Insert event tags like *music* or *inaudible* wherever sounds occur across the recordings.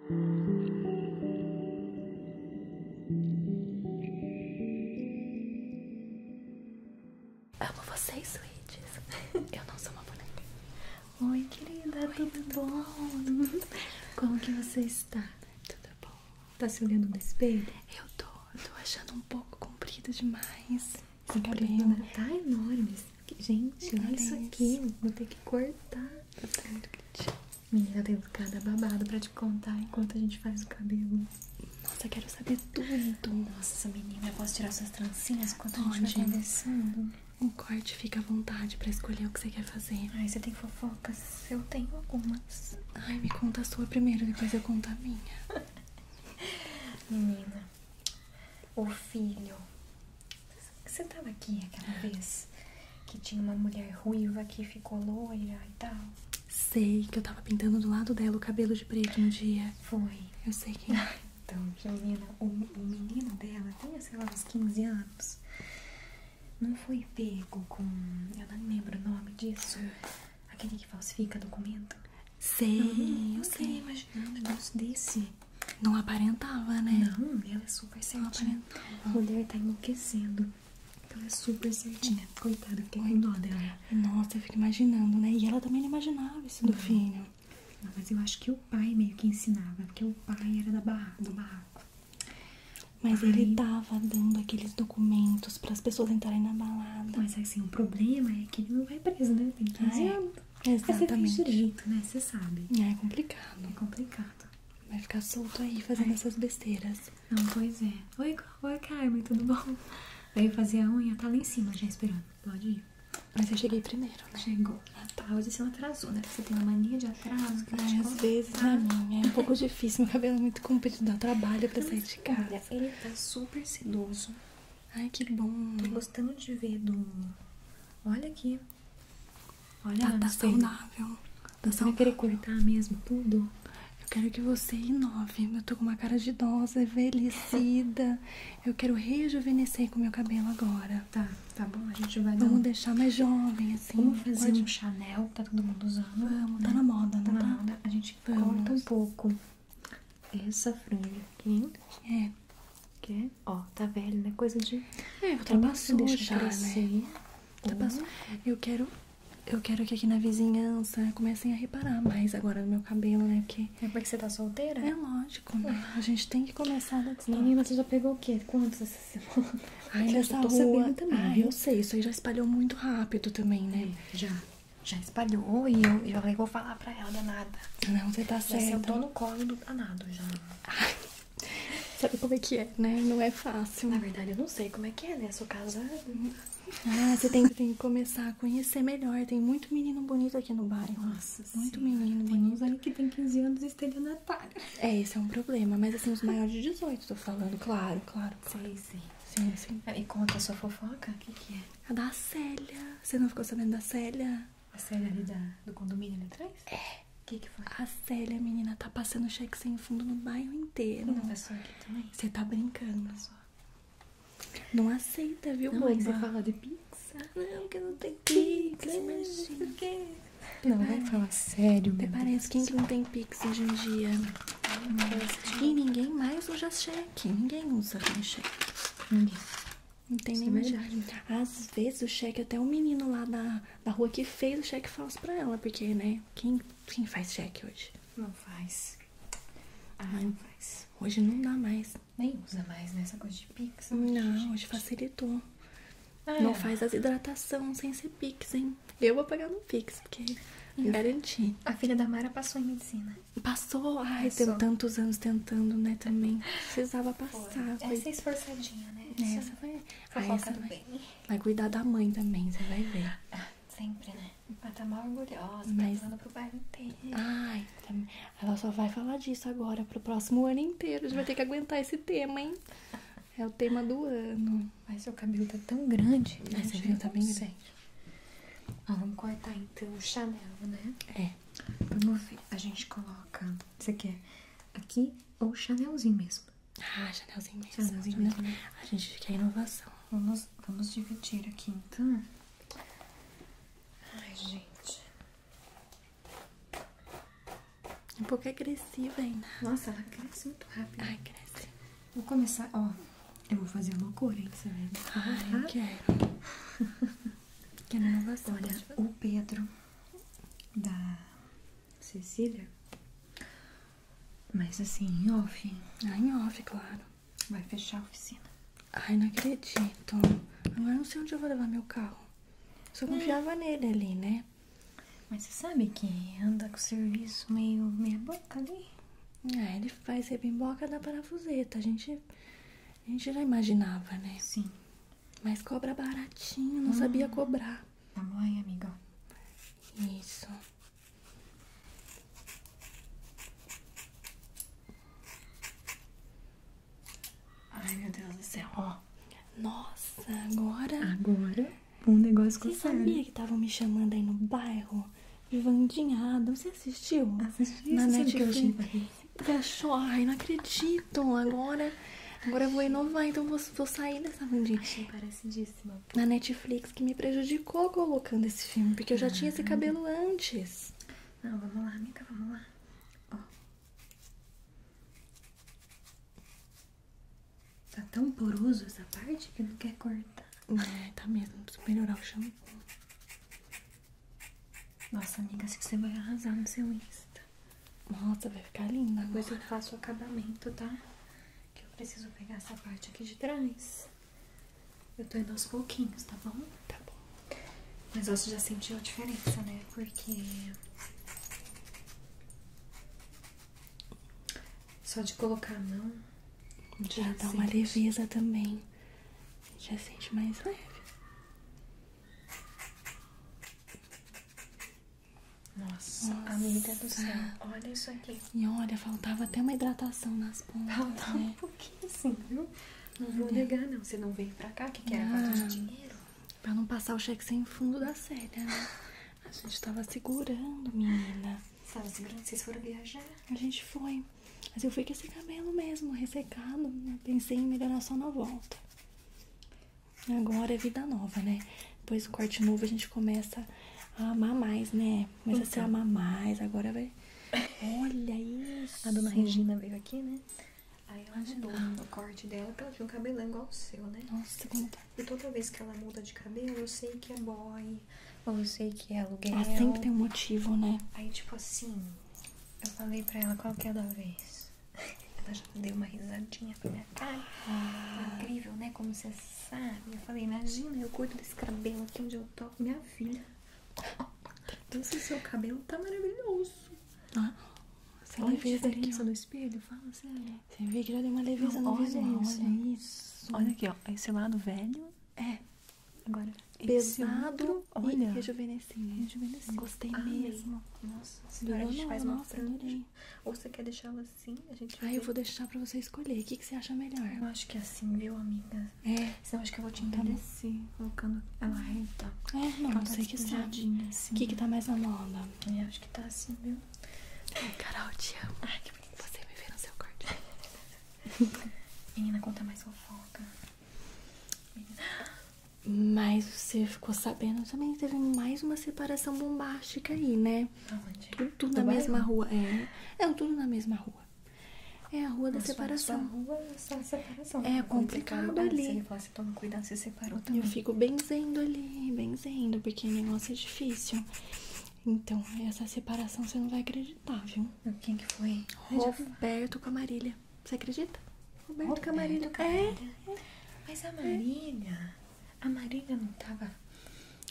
Amo vocês, suítes. Eu não sou uma boneca. Oi, querida, tudo, bom? Como que você está? Tudo bom. Tá se olhando no espelho? Eu tô. tô achando um pouco comprido demais. Comprido. tá enorme. Gente, olha isso aqui. Vou ter que cortar. Tá muito Menina, tenho cada babado pra te contar enquanto a gente faz o cabelo. Nossa, quero saber tudo. Nossa, menina, eu posso tirar suas trancinhas enquanto a gente vai conversando? O corte fica à vontade pra escolher o que você quer fazer. Ai, você tem fofocas? Eu tenho algumas. Ai, me conta a sua primeiro, depois eu conto a minha. *laughs* menina, o filho você tava aqui aquela vez que tinha uma mulher ruiva que ficou loira e tal? Sei que eu tava pintando do lado dela o cabelo de preto um dia. Foi. Eu sei que. Ah, é. então, Juliana, o, o menino dela tinha, sei lá, uns 15 anos. Não foi pego com. Eu não lembro o nome disso. Aquele que falsifica documento? Sei, eu sei, sei mas não, um negócio desse. Não aparentava, né? Não, é tá então, ela é super certinha. A mulher tá enlouquecendo. Ela é super certinha. Coitada, fiquei com dó dela. Nossa, eu fico imaginando, né? E ela também não imaginava isso do filho. mas eu acho que o pai meio que ensinava, porque o pai era da barra, do barraco. Mas ele tava dando aqueles documentos para as pessoas entrarem na balada. Mas assim, o problema é que ele não vai preso, né? Tem que ah, é. anos. Exatamente. Mas você fez jeito, né? Você sabe. É complicado. É complicado. Vai ficar solto aí fazendo essas besteiras. Não, pois é. Oi, oi, Carmen, tudo bom? Veio fazer a unha, tá lá em cima já esperando. Pode ir. Mas eu cheguei primeiro, né? Chegou. É, tá, hoje você não atrasou, né? Você tem uma mania de atraso. às vezes, pra né, mim, é um pouco difícil. Meu cabelo é muito comprido, dá trabalho pra sair de casa. ele tá super sedoso. Ai, que bom. Tô gostando de ver do... Olha aqui. Olha, tá, tá saudável. Tá você saudável. vai querer cortar mesmo tudo? Eu quero que você inove. Eu tô com uma cara de idosa, envelhecida. *laughs* eu quero rejuvenescer com meu cabelo agora. Tá, tá bom. A gente vai Vamos dar um... deixar mais jovem, assim. Vamos fazer um Chanel, tá todo mundo usando. Vamos, né? tá na moda, não tá? Na tá? moda. A gente corta um pouco essa franja aqui. É. Que Ó, tá velho, né? Coisa de. É, tá ultrapassou já, né? Ultrapassou. Tá uhum. eu quero. Eu quero que aqui na vizinhança comecem a reparar mais agora no meu cabelo, né? Porque. É porque é você tá solteira? É lógico, né? A gente tem que começar da distância. Menina, você já pegou o quê? Quantos essa semana? Ai, nessa eu tô Também, ah, eu sei, isso aí já espalhou muito rápido também, né? É, já. Já espalhou e eu, eu vou falar pra ela danada. Não, você tá certa. eu tô no colo do danado já. Ai. Sabe como é que é, né? Não é fácil. Na verdade, eu não sei como é que é, né? Eu sou casada. Ah, você tem, que começar a conhecer melhor. Tem muito menino bonito aqui no bairro. Nossa, Muito menino tem bonito. Tem uns que tem 15 anos e estelionatário. É, esse é um problema. Mas, assim, os maiores de 18, tô falando. Claro, claro. Sim, sim. Sim, sim. É, e conta a sua fofoca. O que, que é? A da Célia. Você não ficou sabendo da Célia? A Célia ali da, do condomínio ali atrás? É. O que, que foi? A Célia, menina, tá passando cheque sem fundo no bairro inteiro. Não passou aqui também? Você tá brincando. Não aceita, viu, não, boba? você fala de Pix? Não, que não tem Pix, imagina. Por quê? Não, vai falar sério, meu Parece quem não tem Pix hoje em dia? Hum, e ninguém mais usa cheque. Ninguém usa cheque. Ninguém. Não tem nem é Às vezes o cheque até o menino lá da da rua que fez o cheque falso pra ela, porque, né? Quem, quem faz cheque hoje? Não faz. ai ah, né? não. faz. Hoje não dá mais. Nem usa mais, né? Essa coisa de pix. Não, hoje facilitou. Ah, não é. faz as hidratação sem ser pix, hein? Eu vou pagar no pix, porque eu é garanti. A filha da Mara passou em medicina. Passou? Ai, passou. deu tantos anos tentando, né, também. *laughs* Precisava passar. Foi. Foi. Essa é esforçadinha, né? Essa foi... Ai, você... do Vai cuidar da mãe também, você vai ver. Ah, sempre, né? Ela tá mal orgulhosa, tá Mas... tá pro bairro inteiro. Ai, ela só vai falar disso agora, pro próximo ano inteiro. A gente vai ter que aguentar esse tema, hein? É o tema do ano. Mas seu cabelo tá tão grande. Né? Seu cabelo tá bem grande. Sei. vamos cortar então o Chanel, né? É. Vamos ver. A gente coloca. Você quer aqui ou Chanelzinho mesmo. Ah, Chanelzinho mesmo. Chanelzinho, mesmo. A gente quer inovação. Vamos, vamos dividir aqui então. Ai, gente. Um pouco agressiva ainda. Nossa, ela cresce muito rápido. Ai, cresce. Vou começar, ó. Eu vou fazer uma loucura, hein? Você vai ver. Ai, eu quero. *laughs* quero inovação. Olha, o Pedro da Cecília? Mas assim, em off? Ah, em off, claro. Vai fechar a oficina. Ai, não acredito. Agora não sei onde eu vou levar meu carro. Só é. confiava nele ali, né? Mas você sabe que anda com o serviço meio meia boca ali? Ah, ele faz rebimboca da parafuseta. A gente, a gente já imaginava, né? Sim. Mas cobra baratinho, não sabia hum. cobrar. Tamanho, tá amiga. Isso. Ai, meu Deus do céu, ó. Nossa, agora. Agora um negócio com Você sabia que estavam me chamando aí no bairro? de Vandinhado. Você assistiu? Assisti. Na Netflix. Que eu achei? Você Ai, não acredito bonito, agora. Agora eu vou inovar, então vou, vou sair dessa bandinha. Achei parecidíssima. Na Netflix que me prejudicou colocando esse filme, porque eu já tinha esse ah. cabelo antes. Não, vamos lá, amiga, vamos lá. Ó. Tá tão poroso essa parte que não quer cortar. É, tá mesmo, preciso melhorar o shampoo. Nossa, amiga, acho que você vai arrasar no seu Insta. Nossa, vai ficar linda. Depois eu faço o acabamento, tá? Que eu preciso pegar essa parte aqui de trás. Eu tô indo aos pouquinhos, tá bom? Tá bom. Mas você já sentiu a diferença, né? Porque. Só de colocar a mão. Já, dá uma leveza também. Já sente mais leve. Nossa, Nossa, amiga do céu. Olha isso aqui. E olha, faltava até uma hidratação nas pontas. Né? Faltava um pouquinho sim. viu? Não vou negar, não. Você não veio pra cá, que, que era falta de dinheiro? Pra não passar o cheque sem fundo da série, né? A gente tava segurando, menina. Você segurando? Vocês foram viajar? A gente foi. Mas eu fui com esse cabelo mesmo, ressecado. Né? Pensei em melhorar só na volta. Agora é vida nova, né? Depois do corte novo a gente começa a amar mais, né? Começa a se então. amar mais, agora vai. *laughs* Olha isso! A dona Regina veio aqui, né? Aí ela ajudou o corte dela, porque ela tinha um cabelão igual o seu, né? Nossa, como tá. E toda vez que ela muda de cabelo, eu sei que é boy, ou eu sei que é aluguel. Ela sempre tem um motivo, né? Aí, tipo assim, eu falei pra ela qual que é da vez. Ela já deu uma risadinha pra minha cara. Ah. incrível, né? Como você sabe. Eu falei, imagina, eu curto desse cabelo aqui onde eu tô. Minha filha. *laughs* Então, seu cabelo tá maravilhoso. Ah, você olha a diferença do espelho, fala sério. Você vê que já deu uma leveza Não, no olha olha isso. Olha aqui, ó. Esse lado velho. É. Agora, pesado esse olha. e Gostei ah, mesmo. Nossa, senhora, a gente faz uma nossa, franja. Ou você quer deixar ela assim? A gente ah, eu vou deixar pra você escolher. O que, que você acha melhor? Eu acho que é assim, viu, amiga? É. Senão acho que eu vou te envelhecer então tá colocando ela ah. reta. É, não, sei que sabe. O assim. que, que tá mais na moda? Eu é, acho que tá assim, viu? Ai, Carol, te amo. Ai, que bonito. Você me vê no seu corte. *laughs* Menina, conta mais fofoca. Menina. Mas você ficou sabendo também que teve mais uma separação bombástica aí, né? Aonde? Ah, tudo, tudo na mesma rua. É, é, tudo na mesma rua. É a rua da Nossa, separação. Rua, só separação. É, é, é complicado ali. Se ele fala, se assim, toma cuidado, se separou também. Eu fico benzendo ali, benzendo, porque negócio é difícil. Então, essa separação você não vai acreditar, viu? Quem que foi? Roberto com a Marília. Você acredita? Roberto, Roberto Camarilho. Camarilho. É, é. Mas a Marília, a Marília não tava.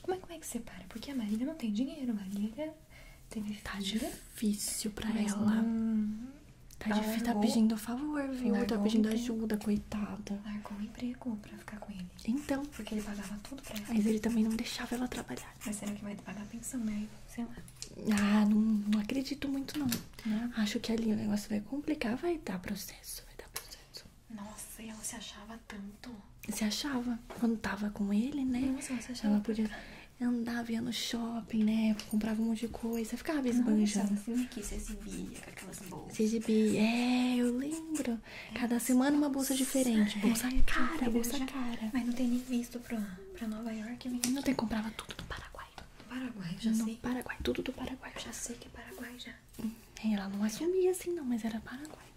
Como é, é que você para? Porque a Marília não tem dinheiro, Marília teve tá filha. Tá difícil pra ela. Tá difícil, tá pedindo favor, viu? Tá pedindo ajuda, coitada. Largou o emprego pra ficar com ele. Então. Porque ele pagava tudo pra ela. Mas ele também não deixava ela trabalhar. Mas será que vai pagar a pensão, né? Sei lá. Ah, não, não acredito muito não. Né? Acho que ali o negócio vai complicar, vai dar processo, vai dar processo. Nossa, e ela se achava tanto. Se achava. Quando tava com ele, né? Nossa, ela achava. podia andar ia no shopping, né? Comprava um monte de coisa, ficava esbanjando. Nossa, filme que se exibia com aquelas bolsas. Se exibia, é, eu lembro. Cada semana uma bolsa diferente. É, bolsa cara, bolsa né? cara. Mas não tem nem visto pra, pra Nova York. Não tem, comprava tudo no Paraguai. Paraguai, já sei. Paraguai, tudo do Paraguai. Eu já sei que é Paraguai já. Hum, ela não assumia assim não, mas era Paraguai.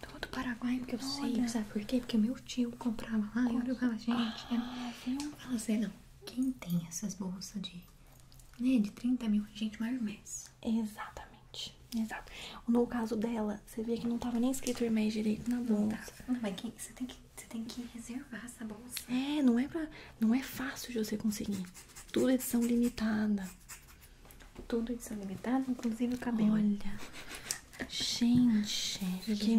Todo Paraguai, porque eu sei. Sabe por quê? Porque meu tio comprava lá e ah, né? eu falava, gente, ah, eu não falo assim, não. Quem tem essas bolsas de, né, de 30 mil, gente, maior mês. Exatamente, exato. No caso dela, você via que não tava nem escrito Hermes direito na bolsa. Não, tá. mas quem, você, tem que, você tem que reservar essa bolsa. É, não é pra... Não é fácil de você conseguir. Tudo edição limitada. Tudo edição limitada, inclusive o cabelo. Olha. Gente, fiquei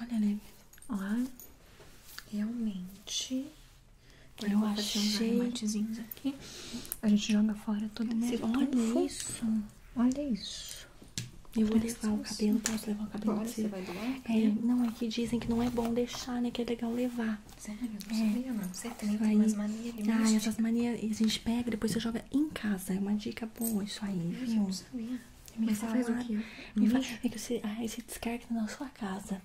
Olha, né? Olha. Realmente. eu, achei. A gente joga fora toda essa Olha isso. Olha isso. Eu vou levar o cabelo, posso levar o cabelo? Agora você vai doar? É, é, não, é que dizem que não é bom deixar, né? Que é legal levar. Sério? Não é. sabia, não. Você tem, tem umas manias tá, de Ah, essas manias a gente pega depois você joga em casa. É uma dica boa isso aí, viu? Eu não sabia. Me Mas fala, você faz o quê? Me fala, uhum. é que você, ah, você descarga na sua casa.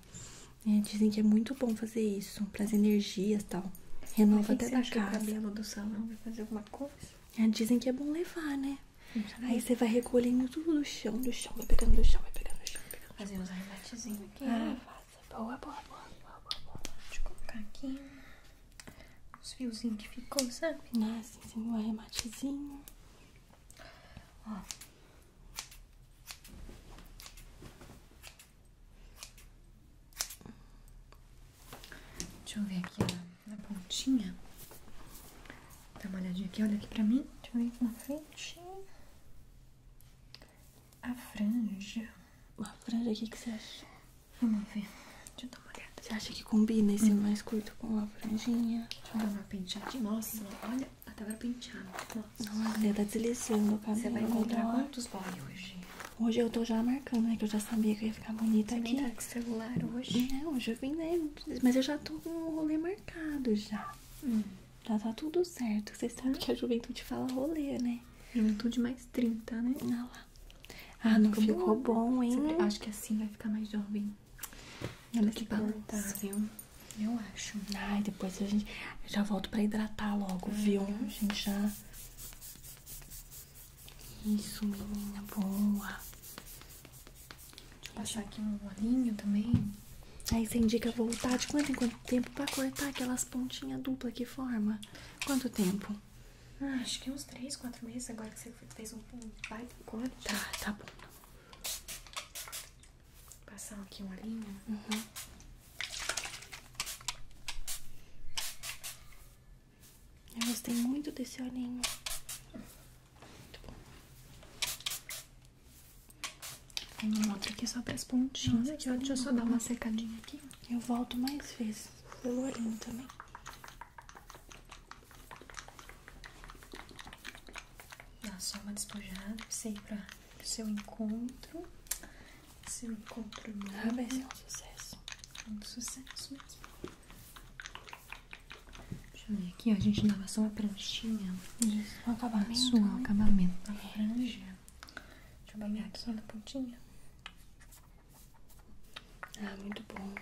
É, dizem que é muito bom fazer isso, para as energias e tal. Renova até da casa. O cabelo do salão vai fazer alguma coisa? É, dizem que é bom levar, né? Aí você vai recolhendo tudo do chão, do chão, vai pegando do chão, vai pegando do chão. Pegando do Fazer uns arrematezinhos aqui. Ah, faça. Boa, boa, boa, boa, boa, boa. Deixa eu colocar aqui os fiozinhos que ficou, sabe? Ah, assim um arrematezinho. Ó. Deixa eu ver aqui na, na pontinha. Dá uma olhadinha aqui, olha aqui pra mim. Deixa eu ver na frente. A franja. a franja, o que, você acha? Vamos ver. Deixa eu dar uma olhada. Você acha que combina esse hum. mais curto com a franjinha? Deixa eu dar uma penteada Nossa, olha, até agora penteada. Nossa, Nossa tá deslizando Você vai encontrar agora. quantos boy hoje? Hoje eu tô já marcando, né? Que eu já sabia que ia ficar bonita você aqui. Você tá com celular hoje? Não, hoje eu vim, né? Mas eu já tô com o rolê marcado já. Já tá, tá tudo certo. Vocês sabem hum? que a juventude fala rolê, né? Juventude mais 30, né? Ah lá. não ficou, bom, hein? Acho que assim vai ficar mais jovem. olha que balançar, viu? Eu acho. Ai, depois a gente. já volto pra hidratar logo, viu? A gente já. Isso, menina boa. Deixa eu passar aqui um olhinho também. Aí você indica voltar de quanto em quanto tempo pra cortar aquelas pontinhas duplas que forma? Quanto tempo? Ah, acho que uns 3, 4 meses agora que você fez um baita um corte. Tá, tá bom. passar aqui um linha. Uhum. Eu gostei muito desse olhinho. Muito bom. Tem um outro aqui só para as pontinhas. Aqui, ó, deixa eu só dar uma secadinha aqui. Eu volto mais vezes pelo olhinho também. Dá só uma despojada pra para o seu encontro. Seu encontro novo. vai ser é um sucesso. Um sucesso mesmo. Deixa eu ver aqui, ó, a gente dava só uma pranchinha. Isso, um acabamento. Isso, né? acabamento. Uma franja. Deixa eu pegar aqui na pontinha. Ah, muito bom.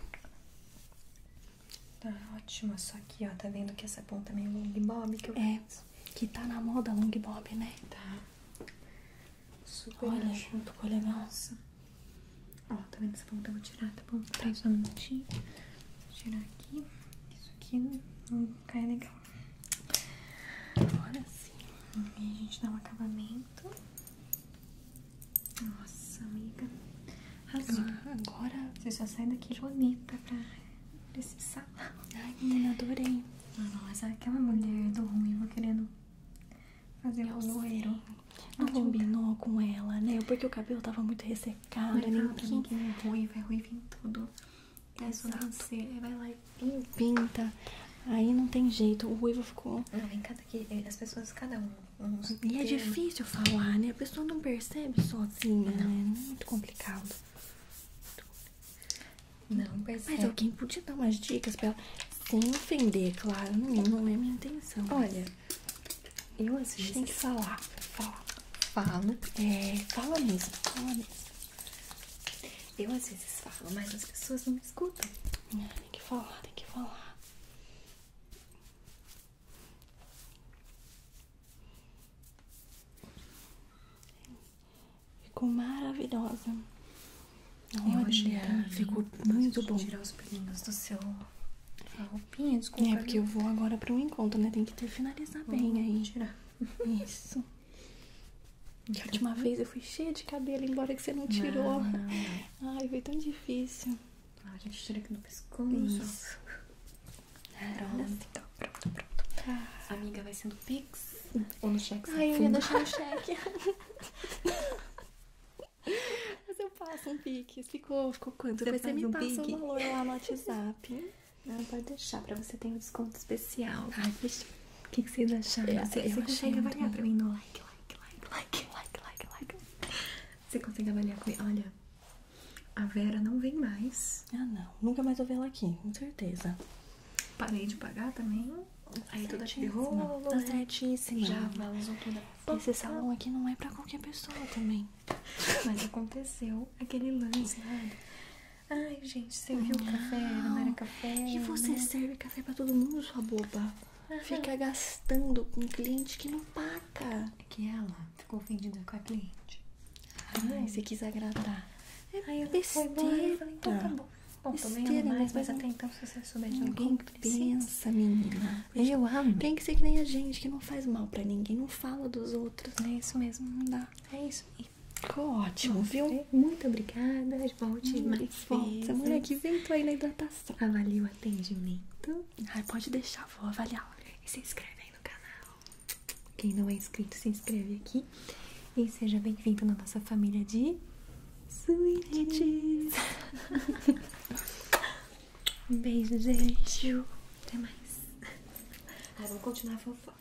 Tá ótima só aqui, ó, tá vendo que essa ponta é meio long que É, que tá na moda long né? Tá. Super Olha, junto com o legal. Ó, tá vendo essa ponta? Eu vou tirar tá bom? Espera só um minutinho. Vou tirar aqui. Isso aqui não cai legal. Agora sim. a gente dá um acabamento. Nossa, amiga. Ah, agora você só sai daqui bonita pra esse salão. Ai, menina, adorei. Nossa, aquela mulher do ruim ruivo querendo fazer o loiro. Não combinou com ela, né? Porque o cabelo tava muito ressecado. Cara, é nem pinta. Que ruim vai é ruiva é tudo. É sobrancelha, é, vai lá e pinta. Aí não tem jeito, o ruivo ficou. Não, vem cada que eh, as pessoas, cada um. e é difícil falar, né? A pessoa não percebe sozinha, não. é Muito complicado. Não percebe. Mas alguém podia dar umas dicas pra ela, sem ofender, claro. Não, não é minha intenção. Olha, eu às vezes. Tem que falar, falar. Falo. É, fala mesmo, fala mesmo. Eu às vezes falo, mas as pessoas não me escutam. É, tem que falar, tem que falar. Ficou maravilhosa. Olha, ficou muito bom. Tirar os brilhos do seu. É, porque eu vou agora pra um encontro, né? Tem que ter finalizado bem aí. Tirar. Isso. *laughs* Da última vez eu fui cheia de cabelo, embora que você não tirou. Ai, foi tão difícil. Ah, a gente tira aqui no pescoço. Isso. Pronto. pronto, então, pronto. Tá. Amiga, vai sendo Pix? Ou no cheque? Ai, eu ia deixar no cheque. *laughs* Mas eu passo um Pix ficou, ficou quanto? Depois você, você me um passa o um valor lá no WhatsApp. *laughs* Não, pode deixar, pra você ter um desconto especial. Ai, fechou. O que, que vocês acharam? Eu, você, eu você consegue avaliar pra mim no like, like, like, like, like, like, like. Você consegue avaliar comigo? Olha, a Vera não vem mais. Ah, não. Nunca mais vou ver ela aqui, com certeza. Parei de pagar também. Aí tudo aqui rolo. Tá certíssimo. Já valorizou tudo. Esse salão aqui não é pra qualquer pessoa também. Mas aconteceu aquele lance, velho. Ai, gente, serviu café? Não era café. E você né? serve café pra todo mundo, sua boba. Fica gastando com um cliente que não paga. É que ela ficou ofendida com a cliente. Ai, Ai. você quis agradar. É eu besteira. Foi bom, eu falei, então tá ah. bom. Bom, besteira, tô mais, mas, mas é até então, se você souber de alguém que Pensa, menina eu amo. Tem que ser que nem a gente, que não faz mal pra ninguém, não fala dos outros. É isso mesmo, não dá. É isso Ficou ótimo, viu? É. Muito obrigada. Volte mais vezes. Mulher que vem, tô aí na hidratação. Avalie ah, o atendimento. Ai, pode deixar, vou avaliar. E se inscreve aí no canal. Quem não é inscrito, se inscreve aqui. E seja bem-vindo na nossa família de... Sweeties! *laughs* beijo, gente. Até mais. vamos continuar a fofoca.